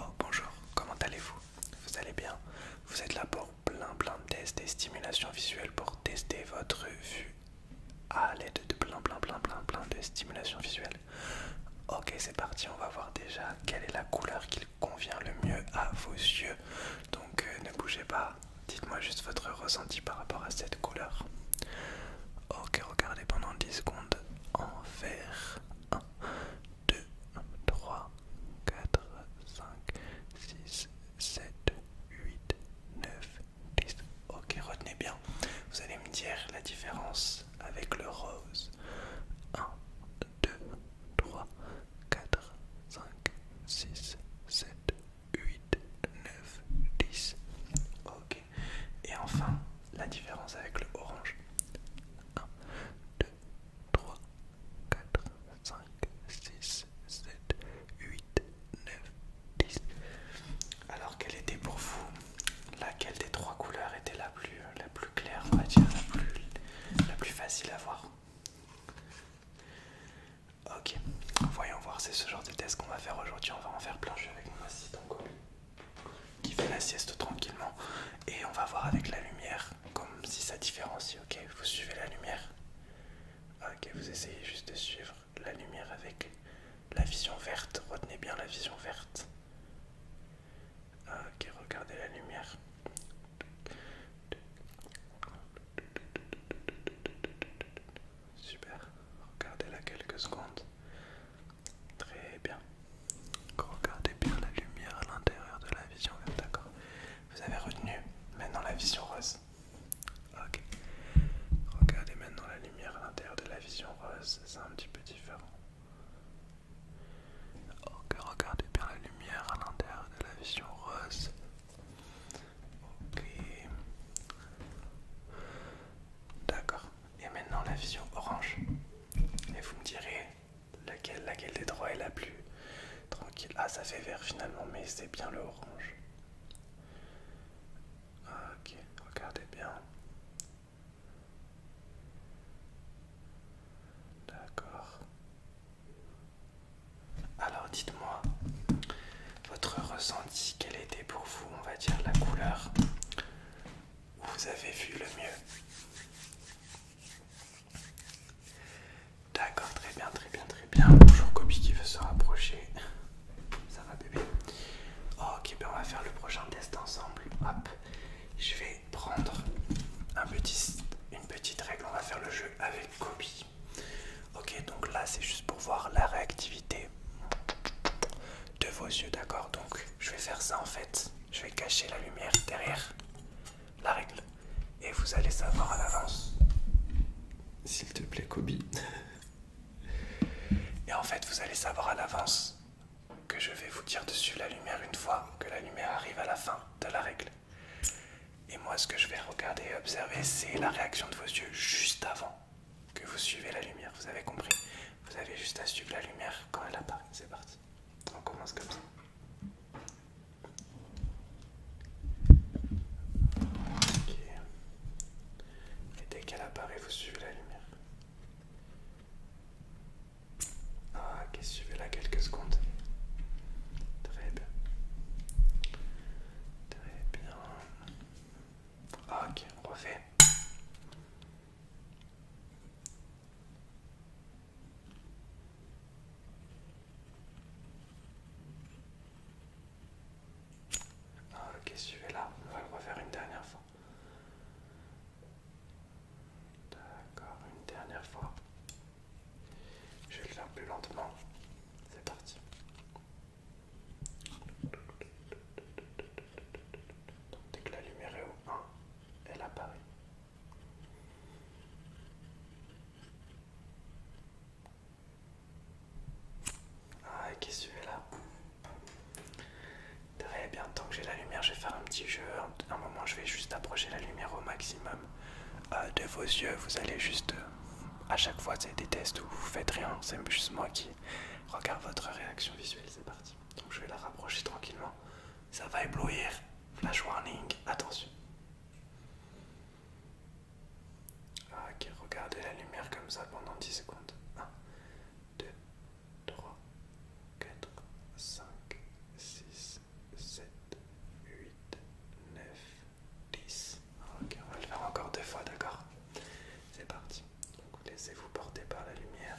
Oh bonjour, comment allez-vous Vous allez bien Vous êtes là pour plein plein de tests et stimulations visuelles pour tester votre vue ah, à l'aide de plein plein plein plein plein de stimulations visuelles. Ok c'est parti, on va voir déjà quelle est la couleur qui convient le mieux à vos yeux. Donc euh, ne bougez pas, dites-moi juste votre ressenti par rapport à cette couleur. Ok regardez pendant 10 secondes en vert. 2, 3, 4, 5, 6, 7, 8, 9, 10. Ok, retenez bien. Vous allez me dire la différence avec le rose. 1, 2, 3, 4, 5, 6, 7, 8, 9, 10. Ok. Et enfin, la différence avec le orange. 1, 2, 3, 4, 5, 6, 7, 8, 9, 10. Alors quelle était pour vous laquelle des trois couleurs était la plus, euh, la plus claire, on va dire, la plus, facile à voir Ok, voyons voir, c'est ce genre de test qu'on va faire aujourd'hui, on va en faire plancher avec moi aussi, qui fait la sieste tranquillement et on va voir avec la lumière comme si ça différencie ok vous suivez la lumière ok vous essayez juste de suivre la lumière avec la vision verte retenez bien la vision verte ok regardez la lumière Super, regardez-la quelques secondes. Très bien. Regardez bien la lumière à l'intérieur de la vision d'accord Vous avez retenu maintenant la vision rose. Ok. Regardez maintenant la lumière à l'intérieur de la vision rose, c'est un petit peu différent. Ok, regardez bien la lumière à l'intérieur de la vision rose. Ok. D'accord. Et maintenant la vision orange. Et vous me direz Laquelle, des trois est la plus tranquille Ah, ça fait vert finalement, mais c'est bien le orange. Ah, ok, regardez bien. D'accord. Alors dites-moi, votre ressenti, quelle était pour vous, on va dire, la couleur où vous avez vu le mieux D'accord, très bien, très bien, très bien. Bonjour Kobe qui veut se rapprocher. Ça va bébé Ok, ben on va faire le prochain test ensemble. Hop, je vais prendre une petite règle. On va faire le jeu avec Kobe. Ok, donc là c'est juste pour voir la réactivité de vos yeux, d'accord Donc je vais faire ça en fait. Je vais cacher la lumière derrière la règle. Et vous allez savoir à l'avance. S'il te plaît, Kobe. Et en fait, vous allez savoir à l'avance que je vais vous dire de suivre la lumière une fois que la lumière arrive à la fin de la règle. Et moi, ce que je vais regarder et observer, c'est la réaction de vos yeux juste avant que vous suivez la lumière. Vous avez compris Vous avez juste à suivre la lumière quand elle apparaît. C'est parti. On commence comme ça. Ok. Et dès qu'elle apparaît, vous suivez la lumière. Ah, ok, suivez-la quelques secondes. Très bien. Très bien. Ah, ok, on refait. Ok, ah, suivez là on va le refaire une dernière fois. D'accord, une dernière fois. Je vais le faire plus lentement. C'est parti. dès que la lumière est au 1, elle apparaît. Ah, qu'est-ce que celui-là Derrière, bien tant que j'ai la lumière, je vais faire un petit jeu. Un moment, je vais juste approcher la lumière au maximum euh, de vos yeux. Vous allez juste, euh, à chaque fois, c'est des tests où vous faites rien. C'est juste moi qui regarde votre réaction visuelle. C'est parti. Donc, je vais la rapprocher tranquillement. Ça va éblouir. Flash warning, attention. Ah, ok, regardez la lumière comme ça pendant 10 secondes. 1, 2, 3, 4, 5, 6, 7, 8, 9, 10. Ok, on va le faire encore deux fois, d'accord C'est parti. Donc laissez-vous porter par la lumière.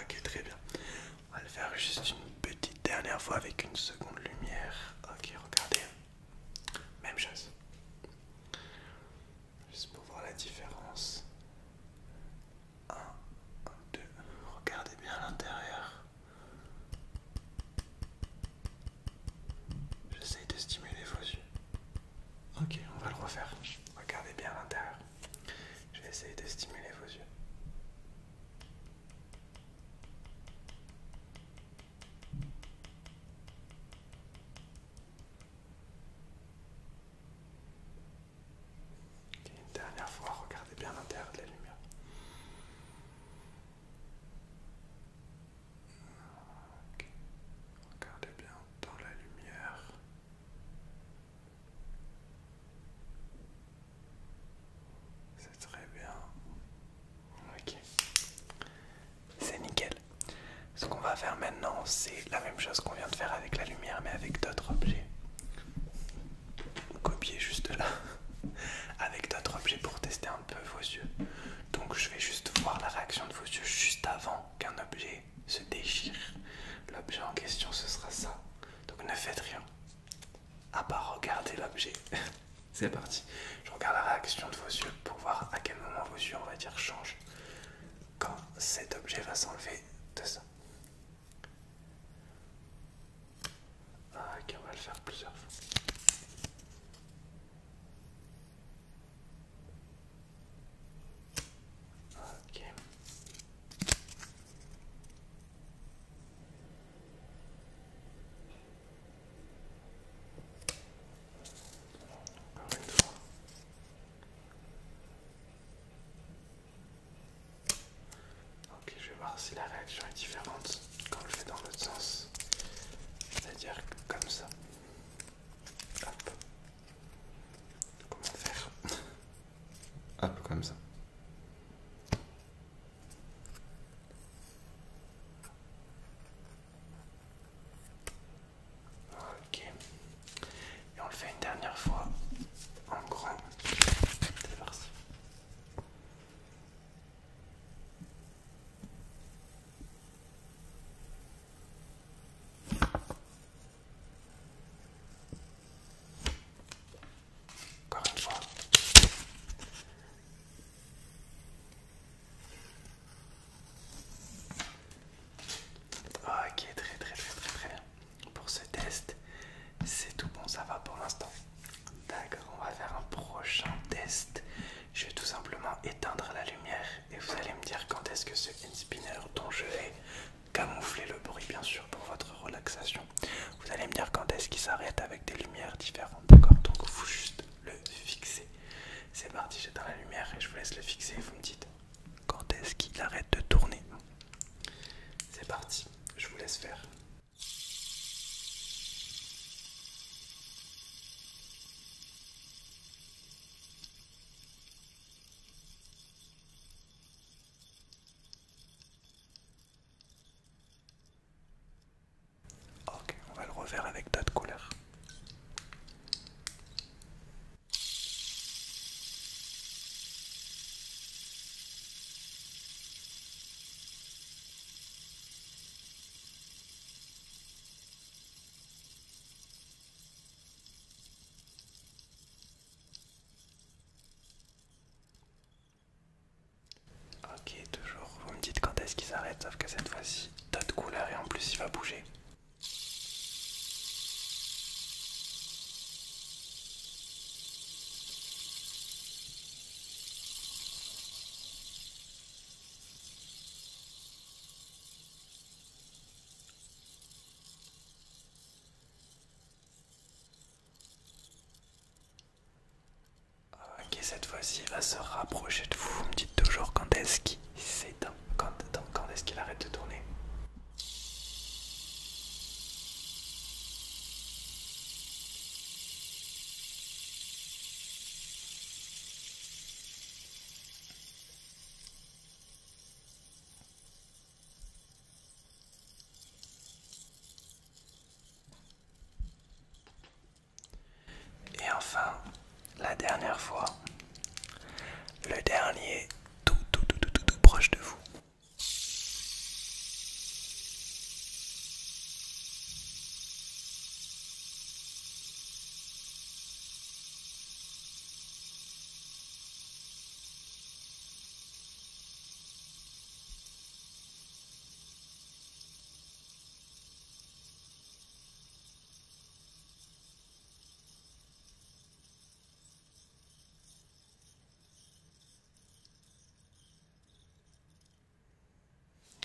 Ok, très bien. On va le faire juste une petite dernière fois avec une seconde lumière. Ok, regardez. Même chose. Juste pour voir la différence. 1, 2. Regardez bien l'intérieur. J'essaye de stimuler vos yeux. Ok, on va le refaire. Regardez bien l'intérieur. Je vais essayer de stimuler vos yeux. une dernière fois, regardez bien l'intérieur de la lumière. Regardez bien dans la lumière. C'est très bien. Ok. C'est nickel. Ce qu'on va faire maintenant, c'est la même chose qu'on vient de faire avec la lumière, mais avec d'autres objets. Copier juste là, avec d'autres objets pour tester un peu vos yeux. Donc je vais juste voir la réaction de vos yeux juste avant qu'un objet se déchire. L'objet en question, ce sera ça. Donc ne faites rien, à part regarder l'objet. C'est parti. Je regarde la réaction de vos yeux pour voir à quel moment vos yeux, on va dire, changent quand cet objet va s'enlever de ça. Ah, ok, on va le faire plusieurs fois. Ok. Ok, je vais voir si la réaction est différente quand je fais dans l'autre sens. C'est-à-dire comme ça. Comment faire un peu comme ça. Ok. Et on le fait une dernière fois en grand. Encore une fois. Ok, très très très très très bien. Pour ce test, c'est tout bon, ça va pour l'instant. D'accord, on va faire un prochain test. Je vais tout simplement éteindre la lumière et vous allez me dire quand est-ce que ce spinner dont je vais camoufler le bruit bien sûr pour votre relaxation. Vous allez me dire quand est-ce qu'il s'arrête avec des lumières différentes, d'accord Donc il faut juste le fixer. C'est parti, j'éteins la lumière et je vous laisse le fixer. Vous me dites quand est-ce qu'il arrête de tourner. C'est parti, je vous laisse faire. Ok, on va le refaire avec d'autres couleurs. Ok, toujours, vous me dites quand est-ce qu'il s'arrête, sauf que cette fois-ci, d'autres couleurs et en plus il va bouger. Ok, cette fois-ci, il va se rapprocher de vous. Vous me dites toujours quand est-ce qu'il quand, quand est-ce qu'il arrête de tourner. Et enfin, la dernière fois, le dernier tout tout tout tout tout, proche de vous.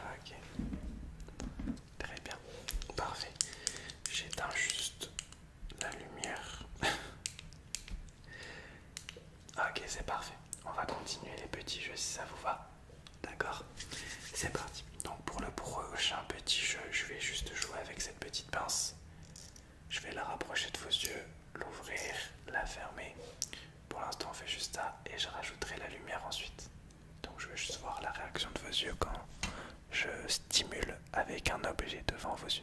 Ok, très bien, parfait. J'éteins juste la lumière. Ok, c'est parfait. On va continuer les petits jeux si ça vous va. D'accord C'est parti. Donc pour le prochain petit jeu, je vais juste jouer avec cette petite pince. Je vais la rapprocher de vos yeux, l'ouvrir, la fermer. Pour l'instant, on fait juste ça et je rajouterai la lumière ensuite. Donc je vais juste voir la réaction de vos yeux quand je stimule avec un objet devant vos yeux.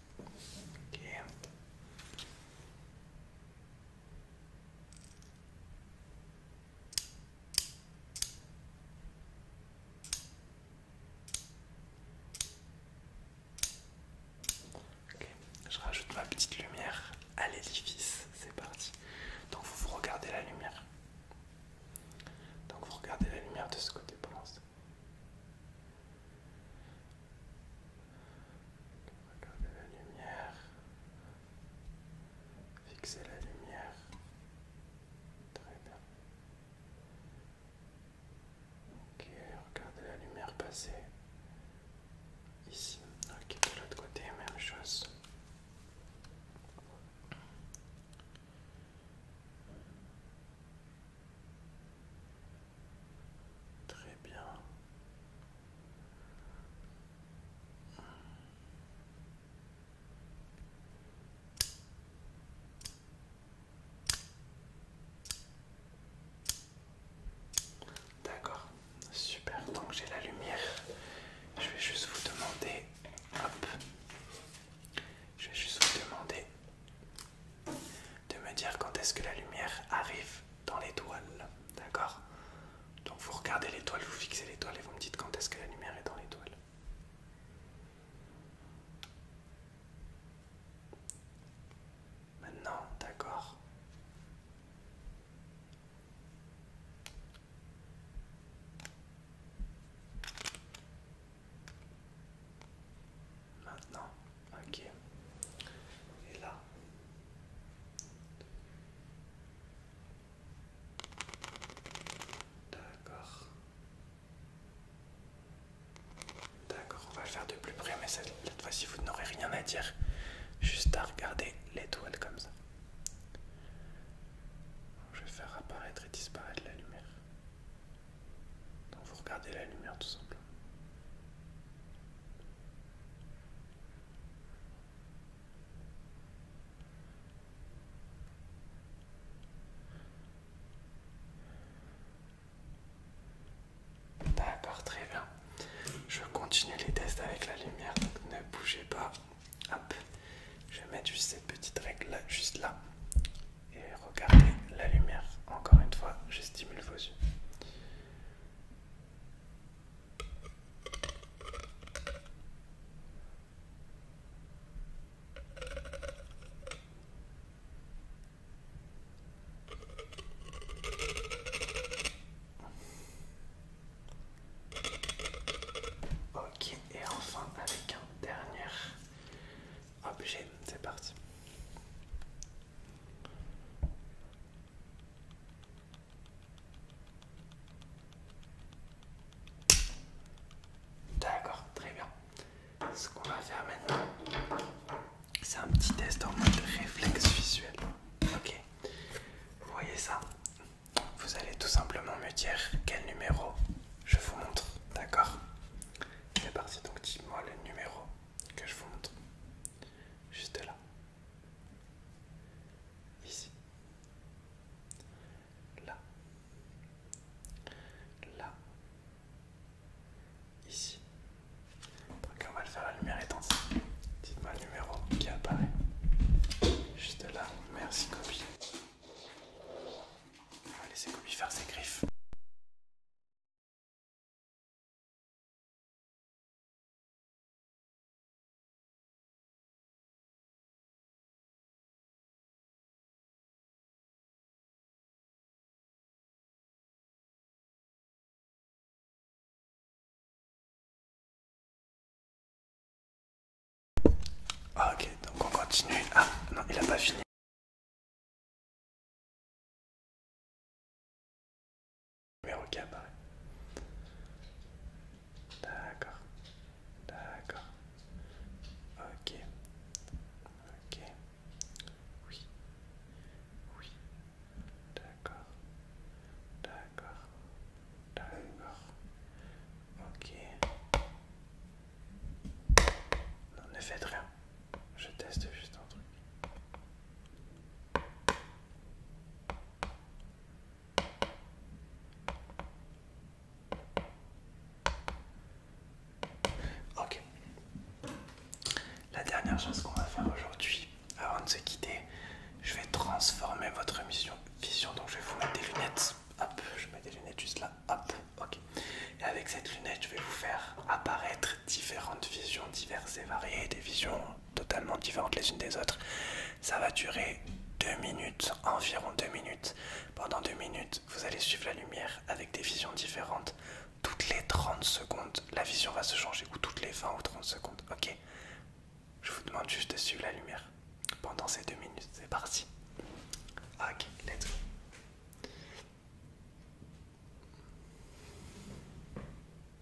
Ok. je rajoute ma petite lumière à l'édifice, c'est parti. Donc vous, vous regardez la lumière. Donc vous regardez la lumière de ce côté, pour l'instant. Regardez la lumière. Fixez la lumière. Très bien. Ok, regardez la lumière passer. Ici. Ok, de l'autre côté, même chose. Très bien. D'accord, super. Donc j'ai la lumière. Je vais juste vous demander, hop, je vais juste vous demander de me dire quand est-ce que la lumière arrive dans l'étoile. D'accord Donc vous regardez l'étoile, vous fixez l'étoile et vous me dites quand est-ce que la lumière est dans l'étoile. Maintenant, d'accord. Maintenant. Ok. Et là. D'accord. D'accord, on va le faire de plus près, mais cette, fois-ci vous n'aurez rien à dire. Juste à regarder l'étoile comme ça. Je vais faire apparaître et disparaître la lumière. Donc vous regardez la lumière tout simplement. D'accord, bah, très bien. Je continue les tests avec la lumière, donc ne bougez pas. Hop, je vais mettre juste cette petite règle là, juste là. Et regardez la lumière. Encore une fois, je stimule vos yeux. Ok, et enfin avec un dernier objet, c'est parti. D'accord, très bien. Ce qu'on va faire maintenant, c'est un petit test en mode réflexe visuel. Ok, vous voyez ça Vous allez tout simplement me dire quel numéro je vous montre, d'accord C'est parti, donc dites-moi le numéro que je vous montre. Juste là. Ici. Là. Là. Ici. on va le faire la lumière étendue. Dites-moi le numéro qui apparaît. Juste là. Merci copie. On va laisser copie faire ses griffes. Ah, ok, donc on continue. Ah non, il a pas fini. Numéro pareil. D'accord. D'accord. Ok. Ok. Oui. Oui. D'accord. D'accord. D'accord. Ok. ne faites rien. Je teste juste un truc. Ok. La dernière chose qu'on va faire aujourd'hui, avant de se quitter, je vais transformer votre mission, vision. Donc je vais vous mettre des lunettes. Hop, je mets des lunettes juste là. Hop, ok. Et avec cette lunette, je vais vous faire apparaître différentes visions diverses et variées, des visions totalement différentes les unes des autres. Ça va durer 2 minutes, environ 2 minutes. Pendant 2 minutes, vous allez suivre la lumière avec des visions différentes. Toutes les 30 secondes, la vision va se changer, ou toutes les 20 ou 30 secondes, ok Je vous demande juste de suivre la lumière pendant ces 2 minutes. C'est parti. Ok, let's go.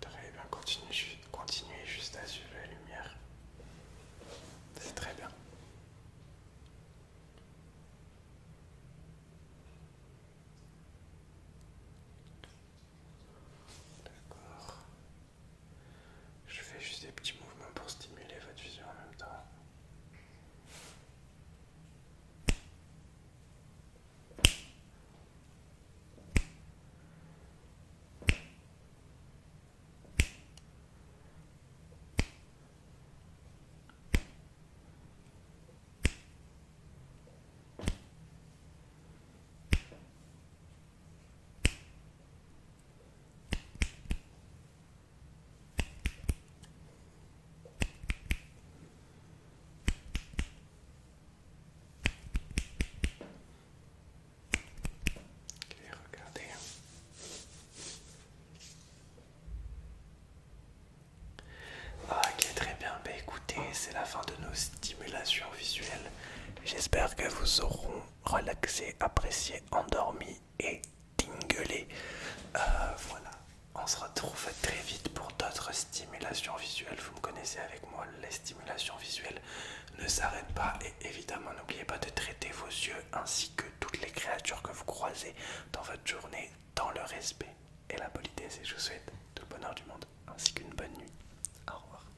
Très bien, continuez, continuez juste à suivre la lumière. C'est très bien. D'accord. Je fais juste des petits mouvements pour stimuler votre vision en même temps. Ah, regardez. Ok, très bien. Bah écoutez, c'est la fin de nos stimulations visuelles. J'espère que vous aurons relaxé, apprécié, endormi et tinguelé. Euh, voilà, on se retrouve très vite pour d'autres stimulations visuelles. Vous me connaissez avec moi, les stimulations visuelles ne s'arrêtent pas et évidemment n'oubliez pas de traiter vos yeux ainsi que toutes les créatures que vous croisez dans votre journée dans le respect et la politesse et je vous souhaite tout le bonheur du monde ainsi qu'une bonne nuit. Au revoir.